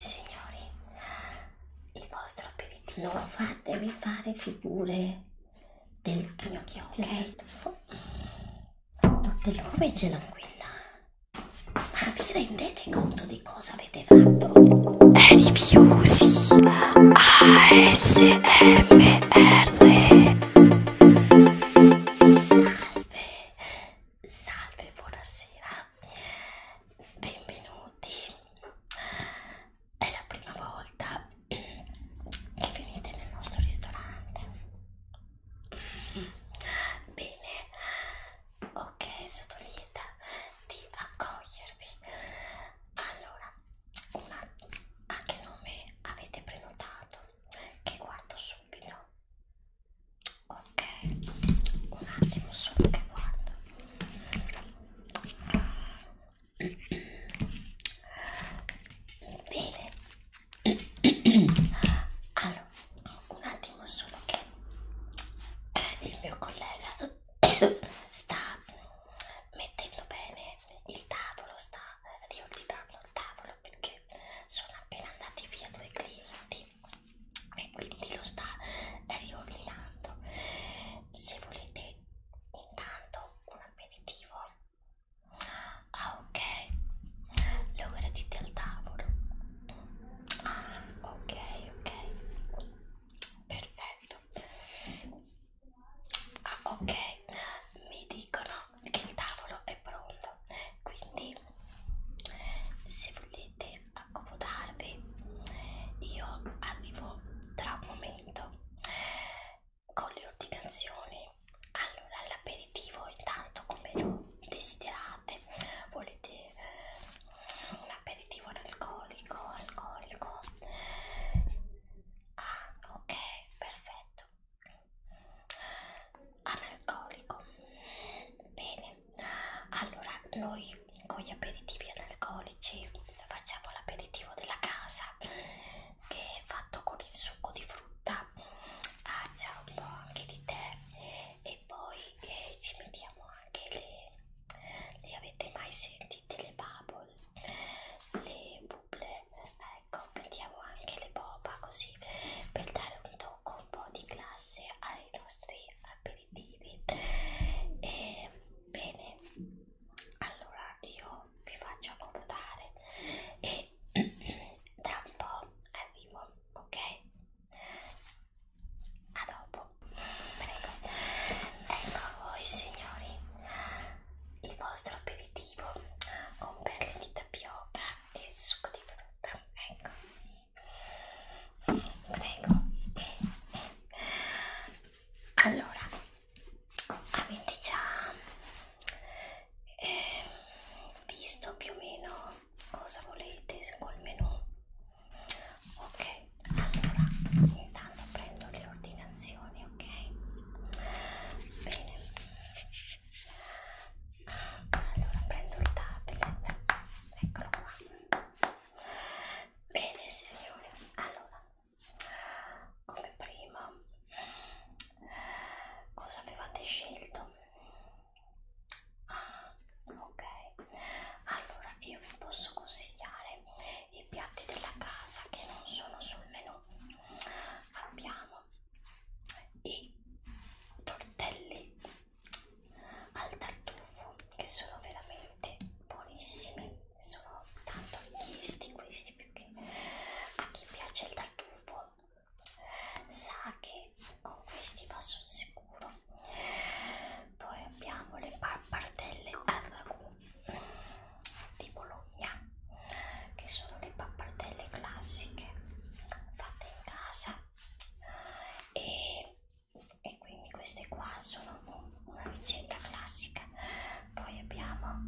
Signori, il vostro aperitivo non fatevi fare figure del gnocchio, ok? Dopo ecco. come ce l'ho qui ma vi rendete conto di cosa avete fatto? Rifiusi ASMR Salve, Salve, buonasera, benvenuti. È la prima volta che venite nel nostro ristorante. Bene, ok, sono lieta di accogliervi. Allora, una, a che nome avete prenotato? Che guardo subito ok un attimo solo che guardo bene allora un attimo solo che eh, il mio collega sta mettendo bene il tavolo sta riordinando eh, il tavolo perché sono appena andati via due clienti e quindi lo sta riordinando se volete intanto un aperitivo ah ok lo gradite al tavolo ah ok ok perfetto ah ok mi dicono che il tavolo è pronto quindi se volete accomodarvi io arrivo tra un momento con le ordinazioni allora l'aperitivo intanto come lo desiderate volete un aperitivo alcolico alcolico ah ok perfetto analcolico bene allora noi con gli aperitivi analcolici facciamo l'aperitivo della casa che è fatto con il succo di frutta ah, c'è un po' anche di tè e poi eh, ci mettiamo anche le, le avete mai sentite le bubble le bubble ecco mettiamo anche le boba così per dare un tocco un po' di classe ai nostri aperitivi aperitivi e bene allora io vi faccio accomodare e tra un po' arrivo ok a dopo prego ecco a voi signori il vostro aperitivo con perle di tapioca e succo di frutta ecco prego allora avete già eh, visto più o meno cosa volete col menù ok allora intanto prendo le ordinazioni ok bene allora prendo il tablet eccolo qua Bene signore, allora, come prima, cosa avevate scelto? Ah, ok, allora io vi posso consigliare i piatti della casa che non sono sul menù. Abbiamo i tortelli al tartufo che sono veramente buonissimi sono tanto richiesti questi perché a chi piace il tartufo sa che con questi va sul sicuro poi abbiamo le pappardelle al ragù di Bologna che sono le pappardelle classiche fatte in casa e e quindi queste qua sono un, una ricetta classica poi abbiamo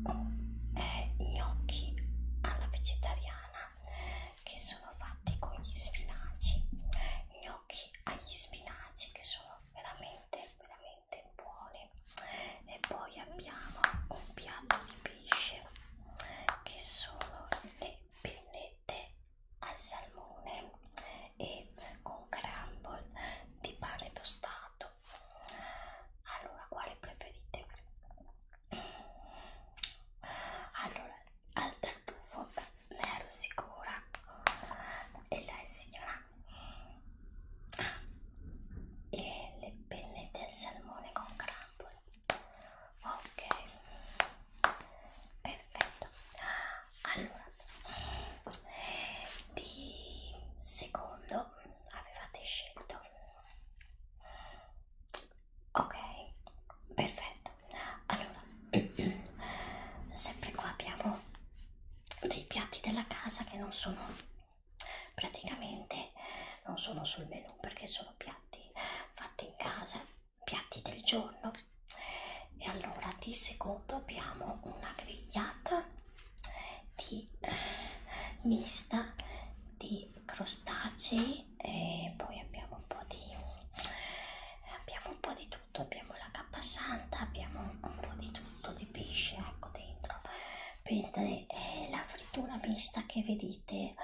eh, gnocchi alla vegetariana che sono fatti con gli spinaci gnocchi agli spinaci che sono veramente veramente buoni e poi abbiamo un piatto di pesce che sono le pennette al salmone e con crumble di pane tostato allora quale preferite? allora al tartufo ne ero sicura e lei signora ah, e le penne del salmone con crumble ok perfetto allora di secondo avevate scelto ok perfetto allora sempre qua abbiamo dei piatti della casa che non sono praticamente non sono sul menù perché sono piatti fatti in casa piatti del giorno e allora di secondo abbiamo una grigliata di eh, mista di crostacei e poi abbiamo un po' di abbiamo un po' di tutto abbiamo la cappa santa abbiamo un po' di tutto di pesce ecco dentro mentre eh, la frittura mista che vedete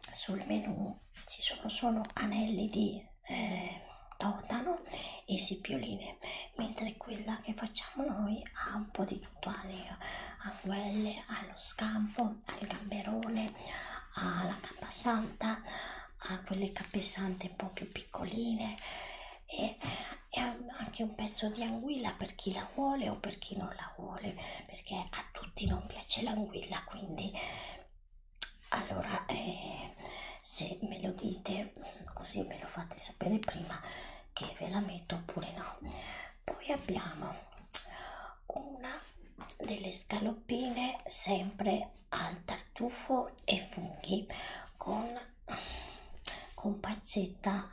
sul menù ci sono solo anelli di eh, totano e sipioline, mentre quella che facciamo noi ha un po' di tutto, ha le anguelle, allo scampo, al gamberone, alla cappa santa, ha quelle cappe sante un po' più piccoline e, eh, e anche un pezzo di anguilla per chi la vuole o per chi non la vuole, perché a tutti non piace l'anguilla, quindi allora eh, se me lo dite così me lo fate sapere prima che ve la metto oppure no poi abbiamo una delle scaloppine sempre al tartufo e funghi con, con pancetta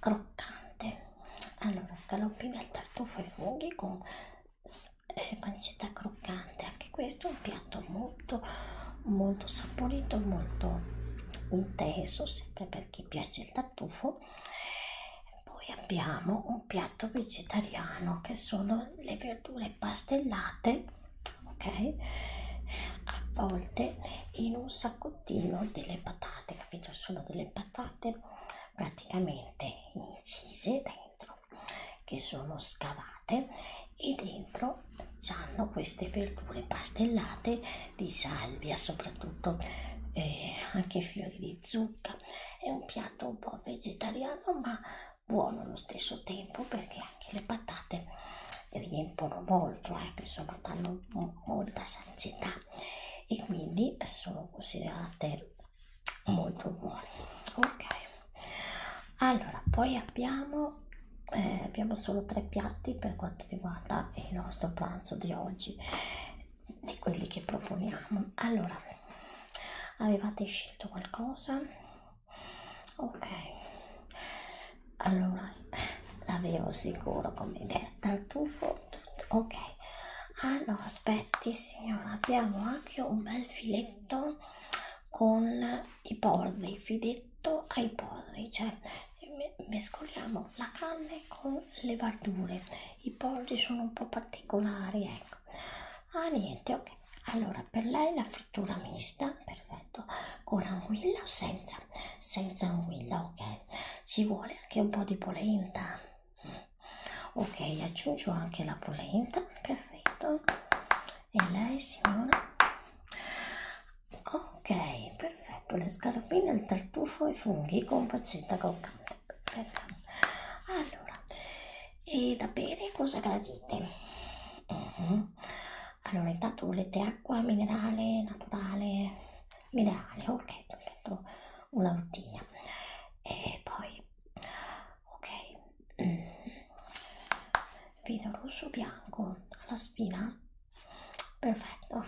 croccante allora scaloppine al tartufo e funghi con eh, pancetta croccante anche questo è un piatto molto molto saporito molto intenso sempre per chi piace il tartufo poi abbiamo un piatto vegetariano che sono le verdure pastellate ok avvolte in un saccottino delle patate capito sono delle patate praticamente incise dentro che sono scavate e dentro hanno queste verdure pastellate di salvia soprattutto eh, anche fiori di zucca è un piatto un po' vegetariano ma buono allo stesso tempo perché anche le patate riempono molto eh, insomma danno molta sazietà e quindi sono considerate molto buoni ok allora poi abbiamo eh, abbiamo solo tre piatti per quanto riguarda il nostro pranzo di oggi di quelli che proponiamo allora avevate scelto qualcosa ok allora l'avevo sicuro come idea tartufo tutto ok ah no aspetti signora abbiamo anche un bel filetto con i porri, fidetto ai porri, cioè mescoliamo la carne con le verdure, i porri sono un po' particolari, ecco. Ah niente, ok. Allora, per lei la frittura mista, perfetto, con anguilla o senza? Senza anguilla, ok. Ci vuole anche un po' di polenta. Mm ok aggiungo anche la polenta perfetto e lei signora ok perfetto le scalopine il tartufo e i funghi con pancetta croccante perfetto allora e da bere cosa gradite uh mhm. -huh. allora intanto volete acqua minerale naturale minerale ok perfetto una bottiglia e poi ok vedo rosso bianco alla spina perfetto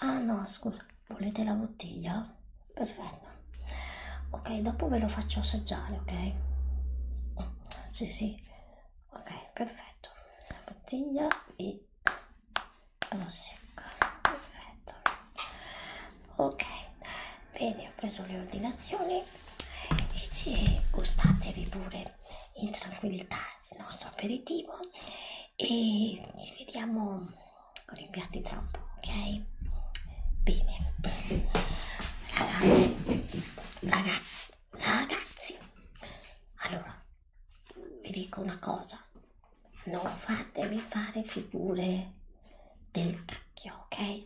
ah no scusa volete la bottiglia perfetto ok dopo ve lo faccio assaggiare ok sì sì ok perfetto la bottiglia e lo secca perfetto ok bene ho preso le ordinazioni e ci gustatevi pure in tranquillità il nostro aperitivo e ci vediamo con i piatti tra un po ok bene ragazzi ragazzi ragazzi allora vi dico una cosa non fatemi fare figure del cacchio, ok?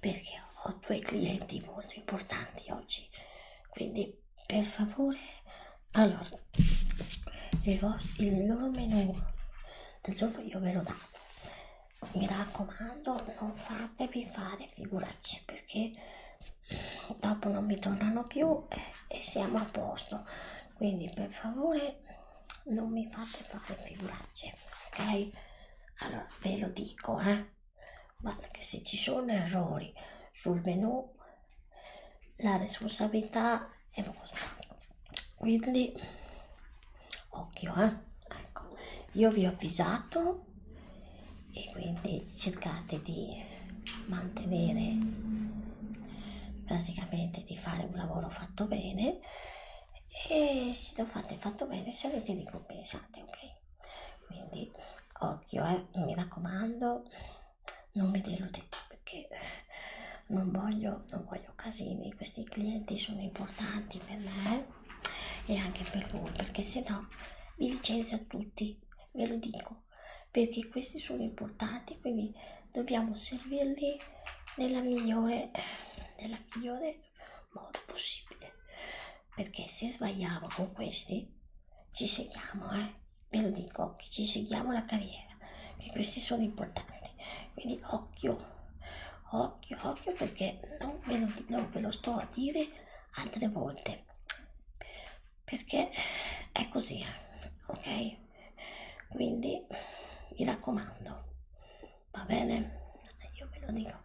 Perché ho due clienti molto importanti oggi, quindi per favore, allora il, il loro menù del giorno io ve lo dato. Mi raccomando, non fatevi fare figuracce perché dopo non mi tornano più e, e siamo a posto quindi per favore non mi fate fare figuracce ok allora ve lo dico eh guarda che se ci sono errori sul menù la responsabilità è vostra quindi occhio eh ecco io vi ho avvisato e quindi cercate di mantenere praticamente di fare un lavoro fatto bene bene e se lo fate fatto bene sarete ricompensate, ok? Quindi occhio, eh, mi raccomando, non mi deludete perché non voglio, non voglio casini, questi clienti sono importanti per me eh? e anche per voi, perché se no vi licenzio a tutti, ve lo dico, perché questi sono importanti, quindi dobbiamo servirli nella migliore, nella migliore modo possibile perché se sbagliamo con questi ci seguiamo eh ve lo dico occhio ci seguiamo la carriera che questi sono importanti quindi occhio occhio occhio perché non ve lo, non ve lo sto a dire altre volte perché è così eh, ok quindi mi raccomando va bene io ve lo dico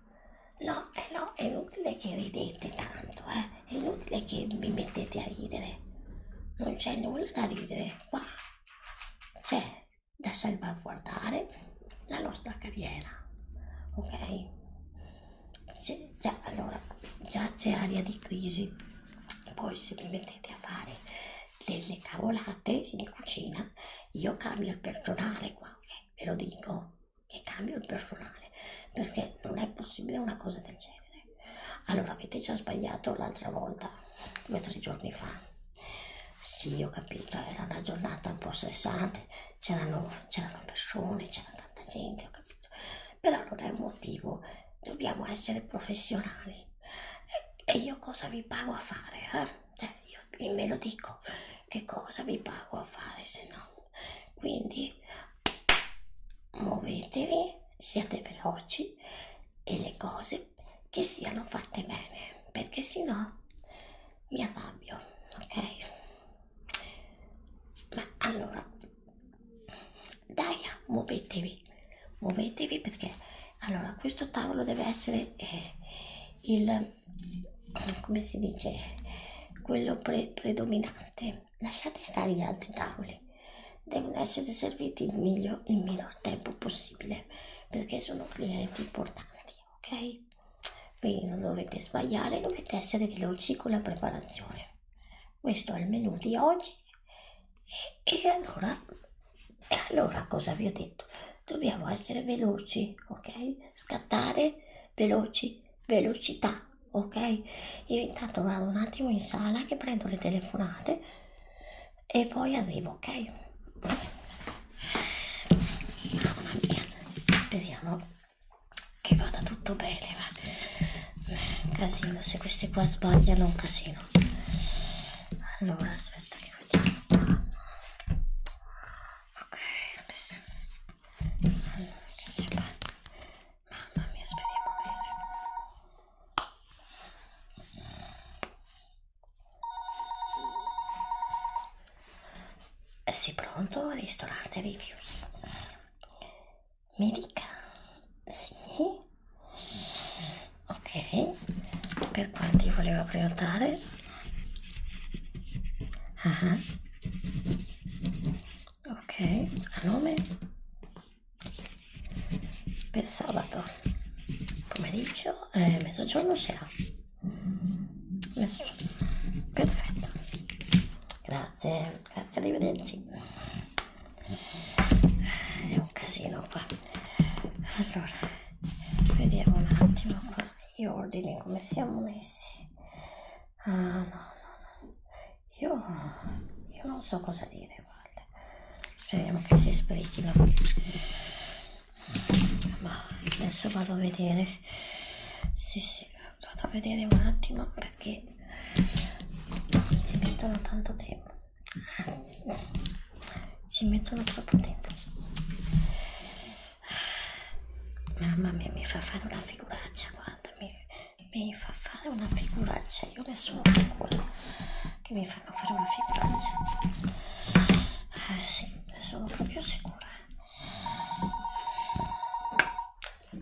no eh no è inutile che ridete tanto eh. è inutile che vi mettete a ridere non c'è nulla da ridere qua c'è da salvaguardare la nostra carriera ok se, già, allora già c'è aria di crisi poi se vi mettete a fare delle cavolate in cucina io cambio il personale qua, eh, ve lo dico, che cambio il personale, perché non è possibile una cosa del genere. Allora, avete già sbagliato l'altra volta, due o tre giorni fa. Sì, ho capito, era una giornata un po' stressante, c'erano persone, c'era tanta gente, ho capito. Però non è un motivo, dobbiamo essere professionali. E, e io cosa vi pago a fare? Eh? Cioè, io me lo dico, che cosa vi pago a fare se no? Quindi muovetevi, siate veloci e le cose che siano fatte bene, perché se no mi arrabbio, ok? Ma allora, dai, muovetevi, muovetevi perché allora questo tavolo deve essere eh, il come si dice quello pre predominante lasciate stare gli altri tavoli devono essere serviti il miglior, il minor tempo possibile perché sono clienti importanti ok quindi non dovete sbagliare dovete essere veloci con la preparazione questo è il menù di oggi e allora, e allora cosa vi ho detto? Dobbiamo essere veloci, ok? Scattare veloci, velocità, ok? Io intanto vado un attimo in sala che prendo le telefonate e poi arrivo, ok? Mamma mia, speriamo che vada tutto bene, va? Eh, casino, se questi qua sbagliano è un casino. Allora, aspetta. Ok, adesso che si fa? Mamma mia, speriamo bene. Eh sì, pronto? Ristorante richiuso. Mi dica, sì? ok per quanti voleva prenotare ah, ah. ok a nome per sabato pomeriggio eh, mezzogiorno sera mezzogiorno perfetto grazie grazie arrivederci è un casino qua allora vediamo un attimo qua gli ordini come siamo messi ah no no no io, io non so cosa dire guarda speriamo che si sbrichino ma adesso vado a vedere sì sì vado a vedere un attimo perché si perdono tanto tempo ci mettono troppo tempo mamma mia mi fa fare una figuraccia guarda mi, mi fa fare una figuraccia io ne sono sicura che mi fanno fare una figuraccia ah sì ne sono proprio sicura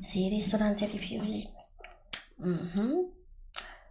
sì, ristorante rifiuti. Mm -hmm.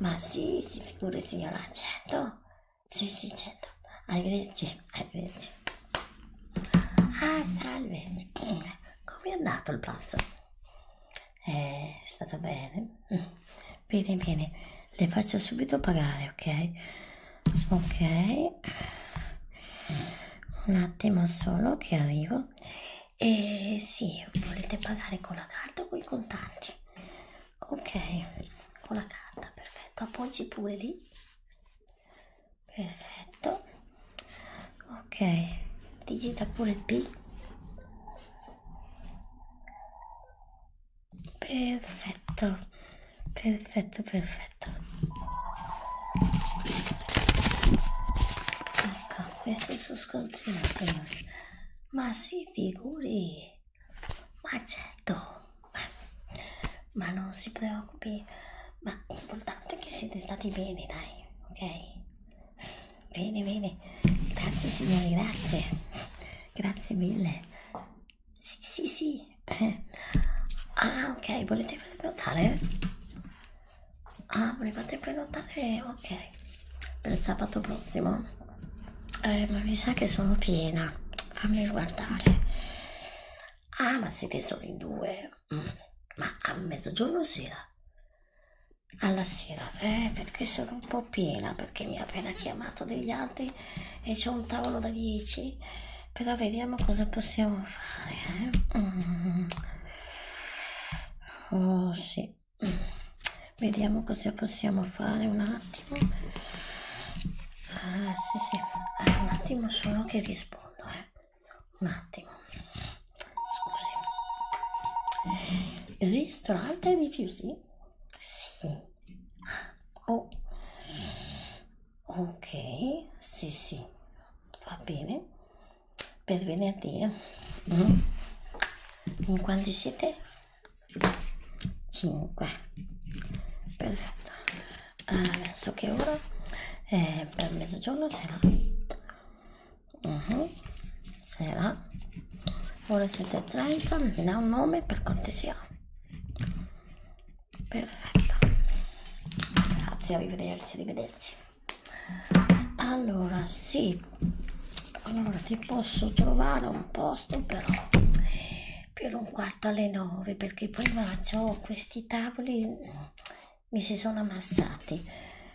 ma sì, si figuri signora, certo. Sì, sì, certo. Arrivederci, arrivederci. Ah, salve. Mm, come è andato il pranzo? Eh, è stato bene? Mm. Bene, bene. Le faccio subito pagare, ok? Ok. Un attimo solo che arrivo. E sì, volete pagare con la carta o con i contanti? Ok, con la carta, perfetto. Appoggi pure lì. Perfetto. Ok, digita pure il P. Perfetto, perfetto, perfetto. Ecco, questo è il suo scontrino, signori ma si figuri ma certo ma, ma non si preoccupi ma l'importante è che siete stati bene dai ok bene bene grazie signori grazie grazie mille sì sì sì eh. ah ok volete prenotare Ah, volevate prenotare? Ok, per sabato prossimo. Eh, ma mi sa che sono piena. Fammi guardare. Ah, ma siete solo in due. Mm. Ma a mezzogiorno sera? Alla sera, eh, perché sono un po' piena, perché mi ha appena chiamato degli altri e c'è un tavolo da 10. Però vediamo cosa possiamo fare. Eh? Mm. Oh sì, vediamo cosa possiamo fare un attimo ah, sì, sì. Ah, un attimo solo che rispondo eh. un attimo scusi ristorante rifiuti sì oh. ok sì sì va bene per venerdì mm. in quanti siete? 5 perfetto adesso che ora eh, per mezzogiorno sera uh mm-hmm. -huh. sera ora siete 30 mi dà un nome per cortesia perfetto grazie arrivederci arrivederci allora sì allora ti posso trovare un posto però per un quarto alle nove perché prima ho questi tavoli mi si sono ammassati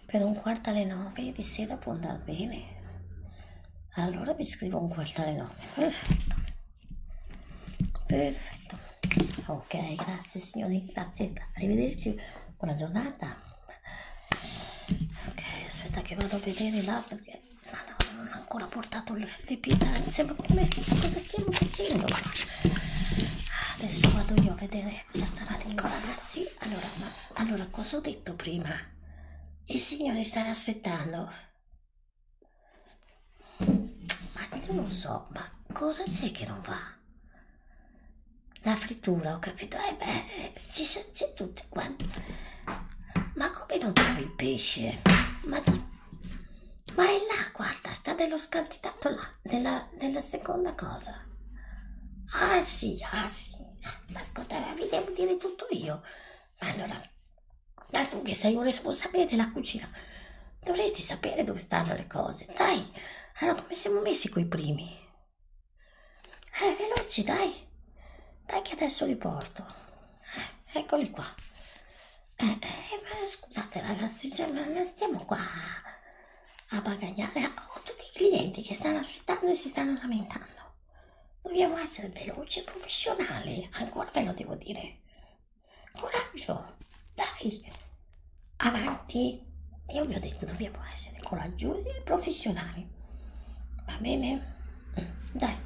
per un quarto alle nove di sera può andare bene allora vi scrivo un quarto alle nove perfetto perfetto ok grazie signori grazie arrivederci buona giornata ok aspetta che vado a vedere là perché ah, no, non ho ancora portato le, le pietanze ma come, cosa stiamo facendo adesso vado io a vedere cosa starà lì ragazzi allora, ma, allora cosa ho detto prima il signore starà aspettando ma io non so ma cosa c'è che non va la frittura, ho capito. Eh beh, ci sono c'è tutte, guarda. Ma come non trovi il pesce? Ma, ma è là, guarda, sta nello scantinato là, nella, nella seconda cosa. Ah sì, ah sì. Ma ascolta, mi devo dire tutto io. Ma allora, dato che sei un responsabile della cucina, dovresti sapere dove stanno le cose. Dai, allora come siamo messi coi primi? Eh, veloci, dai. Dai che adesso li porto. Eh, eccoli qua. Eh, eh, scusate ragazzi, cioè, non stiamo qua a bagagliare. Ah, ho tutti i clienti che stanno aspettando e si stanno lamentando. Dobbiamo essere veloci e professionali, ancora ve lo devo dire. Coraggio, dai, avanti, e io vi ho detto, dobbiamo essere coraggiosi e professionali. Va bene? Mm, dai,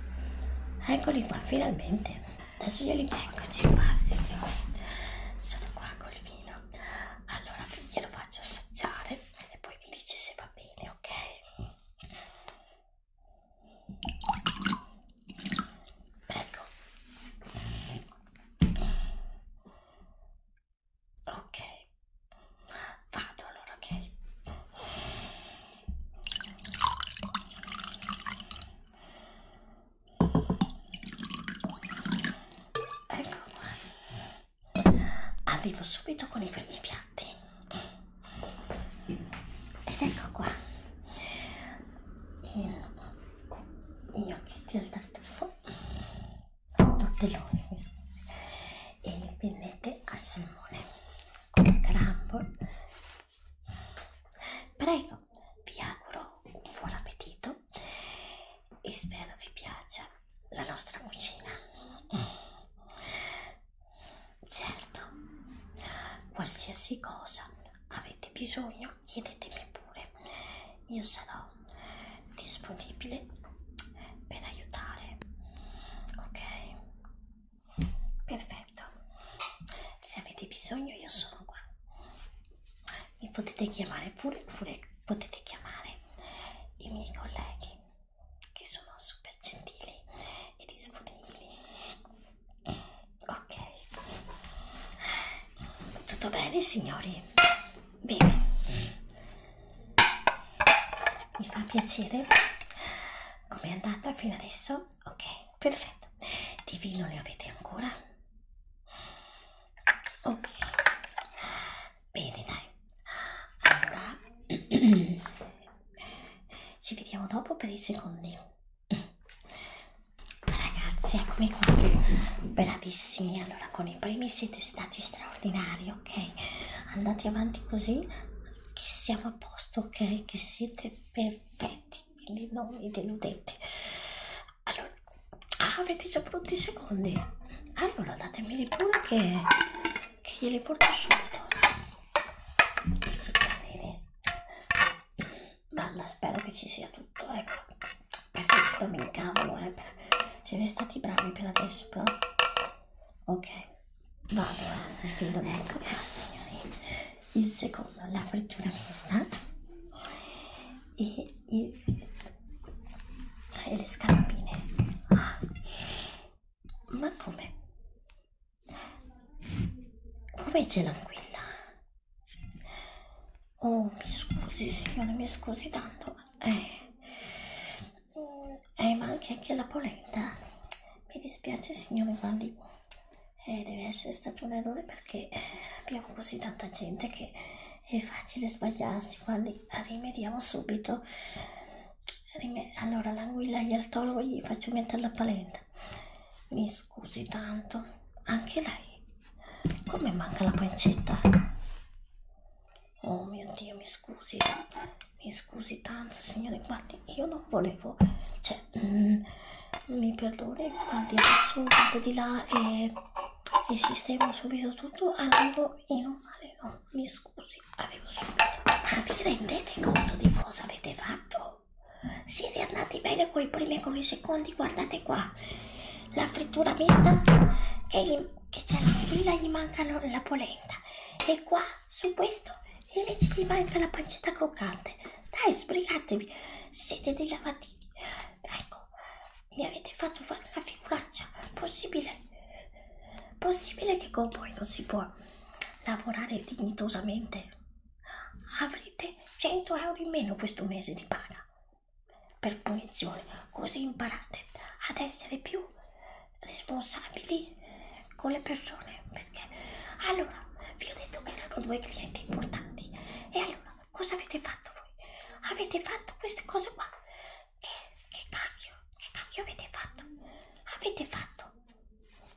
eccoli qua, finalmente. Adesso glieli porgo. Eccoci qua, signore. Sono qua col vino. Allora glielo faccio assaggiare e poi mi dice se va bene, ok? Ecco. Ok, vado allora, ok. Ecco qua. Arrivo subito con i primi piatti. Ed ecco qua. Il gnocchi al tartufo tortelloni, mi scusi, e pennette al salmone con crumble. Prego, vi auguro un buon appetito e spero vi piaccia la nostra cucina. Certo, qualsiasi cosa avete bisogno chiedetemi pure, io sarò disponibile per aiutare ok perfetto se avete bisogno io sono qua mi potete chiamare pure oppure potete chiamare i miei colleghi che sono super gentili e disponibili ok tutto bene signori bene mi fa piacere come è andata fino adesso ok perfetto di vino ne avete ancora ok bene dai allora ci vediamo dopo per i secondi ragazzi eccomi qua bravissimi allora con i primi siete stati straordinari ok, andate avanti così, che siamo a posto, ok, che siete perfetti, quindi non vi deludete. Allora, ah, avete già pronti i secondi? Allora datemeli pure che, che glieli porto subito. Va bene. Balla, spero che ci sia tutto, ecco. Perché se no mi incavolo, eh. Siete stati bravi per adesso, però Ok, vado eh, mi fido ecco. del ah, signori. Il secondo, la frittura mista e, il, e le scarpine. Ah, ma come? Come ce l'ha qui? Oh, mi scusi signore, mi scusi tanto. Eh, eh, ma anche, anche la polenta. Mi dispiace signore Valli, eh, deve essere stato un errore perché eh, abbiamo così tanta gente che è facile sbagliarsi. Valli, rimediamo subito. Rime allora l'anguilla gli altologo gli faccio mettere la polenta. Mi scusi tanto, anche lei. Come manca la pancetta? Oh mio Dio, mi scusi, mi scusi tanto signore, guardi, io non volevo, cioè, mm, mi perdoni, guardi, adesso vado di là e, e sistemo subito tutto, arrivo in un male, no, mi scusi, arrivo subito. Ma vi rendete conto di cosa avete fatto? Siete andati bene con i primi e con i secondi, guardate qua, la frittura mista che gli che c'è la quella gli mancano la polenta e qua su questo invece gli manca la pancetta croccante dai sbrigatevi siete dei lavatini ecco mi avete fatto fare una figuraccia possibile possibile che con voi non si può lavorare dignitosamente avrete 100 euro in meno questo mese di paga per punizione, così imparate ad essere più responsabili con le persone. Perché allora vi ho detto che erano due clienti importanti, e allora cosa avete fatto voi? Avete fatto queste cose qua. Che, che cacchio, che cacchio avete fatto? Avete fatto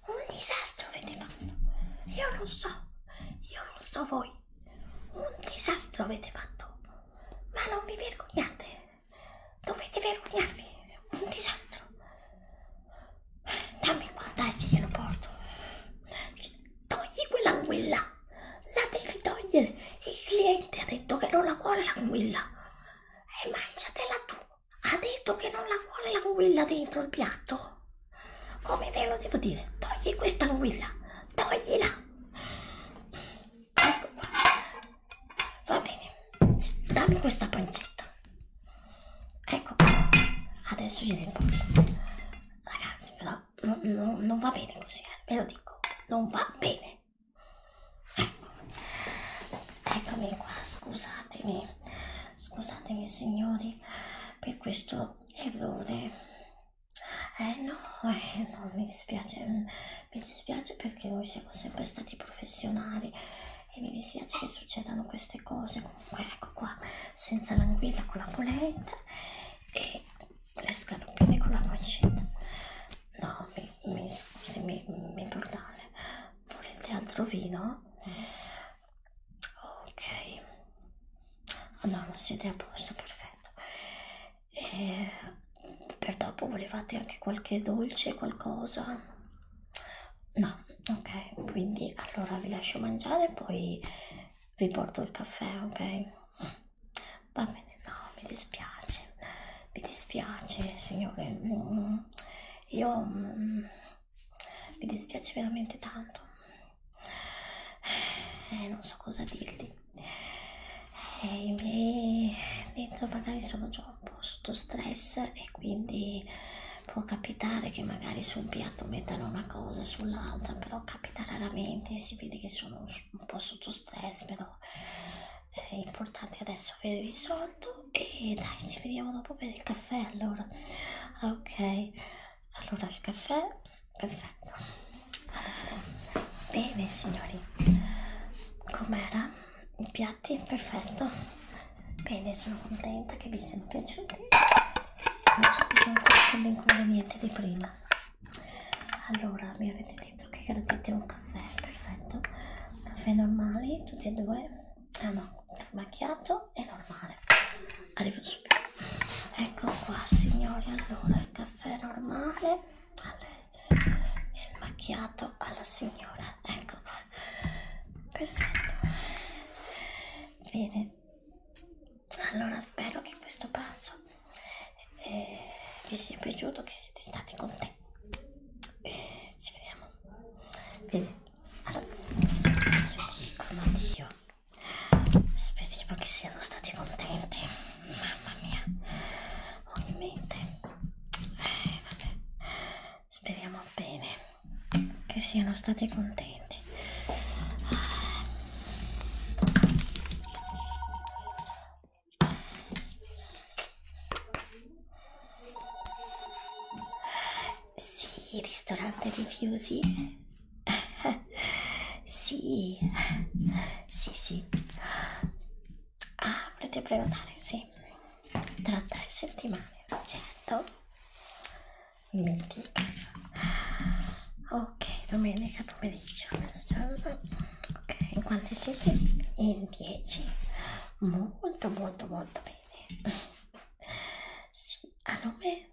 un disastro, avete fatto. Io non so, io non so voi. Un disastro avete fatto. Ma non vi vergognate. Dovete vergognarvi, è un disastro. Dammi qua, dai che glielo porto. Cioè, togli quell'anguilla, la devi togliere. Il cliente ha detto che non la vuole l'anguilla. E mangiatela tu. Ha detto che non la vuole l'anguilla dentro il piatto. Come ve lo devo dire? Togli questa anguilla, toglila ecco qua. Va bene, dammi questa pancetta. Ecco qua. Adesso gliela impugno. Ragazzi, però no, no, non va bene così, eh. ve lo dico. Non va bene. Ecco. Eccomi qua, scusatemi. Scusatemi signori per questo errore. Eh no, eh no, mi dispiace mi dispiace perché noi siamo sempre stati professionali e mi dispiace che succedano queste cose comunque ecco qua senza l'anguilla con la polenta e le scaloppine con la pancetta no mi, mi scusi mi, mi brutale volete altro vino? ok oh no non siete a posto perfetto e eh, per dopo volevate anche qualche dolce qualcosa no ok quindi allora vi lascio mangiare poi vi porto il caffè ok va bene no mi dispiace mi dispiace signore io mm, mi dispiace veramente tanto eh, non so cosa dirti e eh, i miei dentro magari sono già un po' sotto stress e quindi può capitare che magari su un piatto mettano una cosa e sull'altra però capita raramente si vede che sono un po' sotto stress però eh, è importante adesso avere risolto e dai ci vediamo dopo per il caffè allora ok allora il caffè perfetto Bene signori, com'era? I piatti? Perfetto. Bene, sono contenta che vi siano piaciuti. Non so più l'inconveniente di prima. Allora, mi avete detto che gradite un caffè, perfetto. Caffè normali, tutti e due. Ah no, macchiato e normale. Arrivo subito. Ecco qua signori, allora il caffè normale alle il macchiato alla signora ecco qua perfetto bene allora spero che questo pranzo eh, vi sia piaciuto che siete stati con te eh, ci vediamo bene allora dico ma dio speriamo che siano stati contenti mamma mia ho in mente eh, vabbè. Speriamo bene che siano stati contenti. Sì, ristorante di Fiusi. sì, sì, sì. Ah, volete prenotare? Sì, tra tre settimane, certo. Mitica. Ok, domenica pomeriggio. Ok, in quanti siete? In 10. Molto, molto, molto bene. Sì, a nome?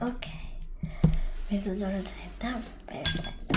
Ok, mezzogiorno 30, perfetto.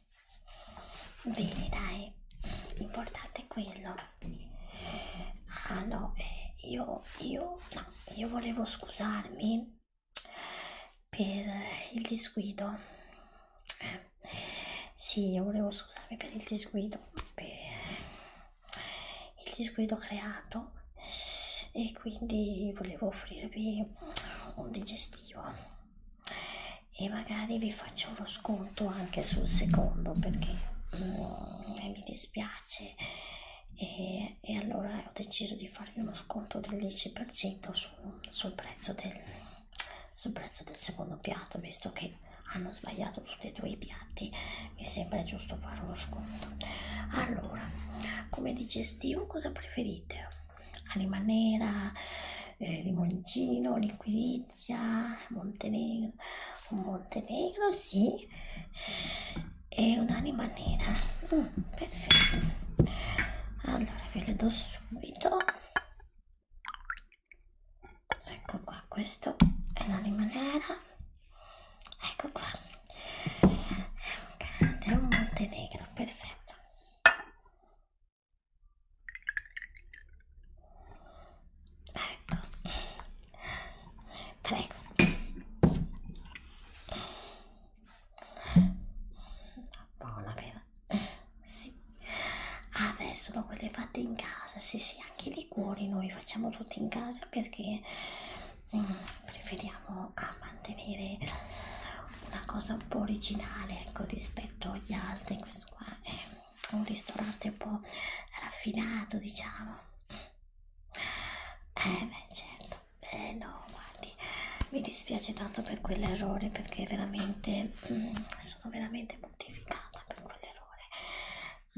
bene dai l'importante è quello ah no eh, io io no io volevo scusarmi per il disguido eh, sì io volevo scusarmi per il disguido per il disguido creato e quindi volevo offrirvi un digestivo e magari vi faccio uno sconto anche sul secondo perché mm, mi dispiace e, e allora ho deciso di farvi uno sconto del 10% su, sul, prezzo del, sul prezzo del secondo piatto visto che hanno sbagliato tutti e due i piatti mi sembra giusto fare uno sconto allora come digestivo cosa preferite? anima nera eh, limoncino, liquirizia, montenegro, un montenegro sì, e un'anima nera, mm, perfetto, allora ve le do subito, ecco qua, questo è l'anima nera, ecco qua, è un montenegro, perfetto Ecco, prego. Buona vera. Sì. Adesso dopo le fate in casa, sì sì, anche i liquori noi facciamo tutti in casa perché mm, preferiamo a mantenere una cosa un po' originale ecco, rispetto agli altri. Questo qua è un ristorante un po' raffinato, diciamo. Eh, beh, certo, eh no, guardi, mi dispiace tanto per quell'errore perché veramente mm, sono veramente mortificata per quell'errore.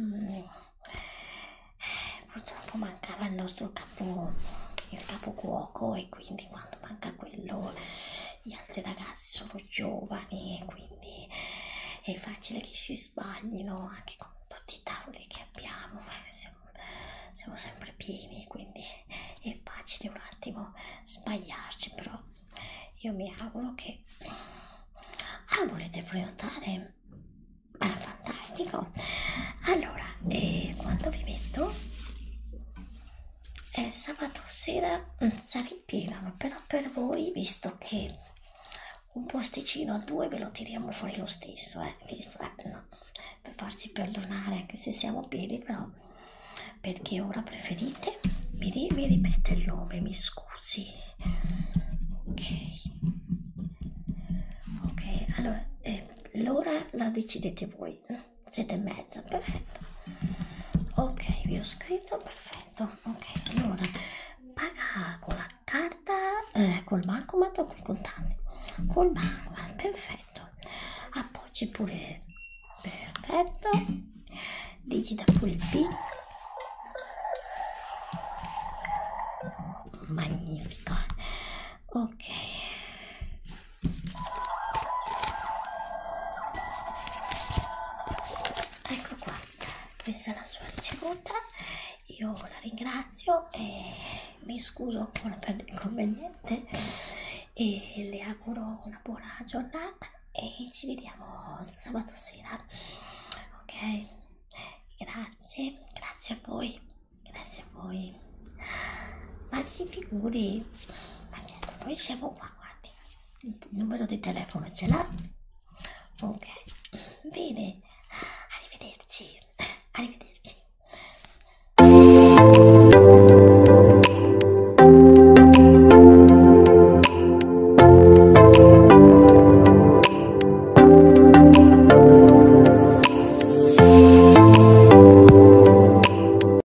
Mm. Eh, purtroppo mancava il nostro capo il capocuoco e quindi quando manca quello gli tante ragazze sono giovani e quindi è facile che si sbaglino anche con tutti i tavoli che abbiamo siamo, siamo sempre pieni quindi è facile un attimo sbagliarci però io mi auguro che ah volete prenotare ah fantastico allora eh, quanto vi metto eh, sabato sera mm, sarà in pieno, però per voi, visto che un posticino a due ve lo tiriamo fuori lo stesso, eh, visto, eh, no, per farci perdonare anche se siamo pieni, però perché ora preferite? Mi, mi ripete il nome, mi scusi. Ok, ok, allora eh, l'ora la decidete voi. Mm siete e mezza perfetto ok vi ho scritto perfetto ok allora paga con la carta eh, col bancomat o col contante col bancomat perfetto appoggi pure perfetto digita pure il PIN magnifico ok Ecco qua, cioè, questa è la sua ricevuta. Io la ringrazio e mi scuso ancora per l'inconveniente e le auguro una buona giornata e ci vediamo sabato sera. Ok? Grazie, grazie a voi, grazie a voi. Ma si figuri, ma noi siamo qua Ah, guardi, il numero di telefono ce l'ha? Ok, bene, arrivederci, arrivederci.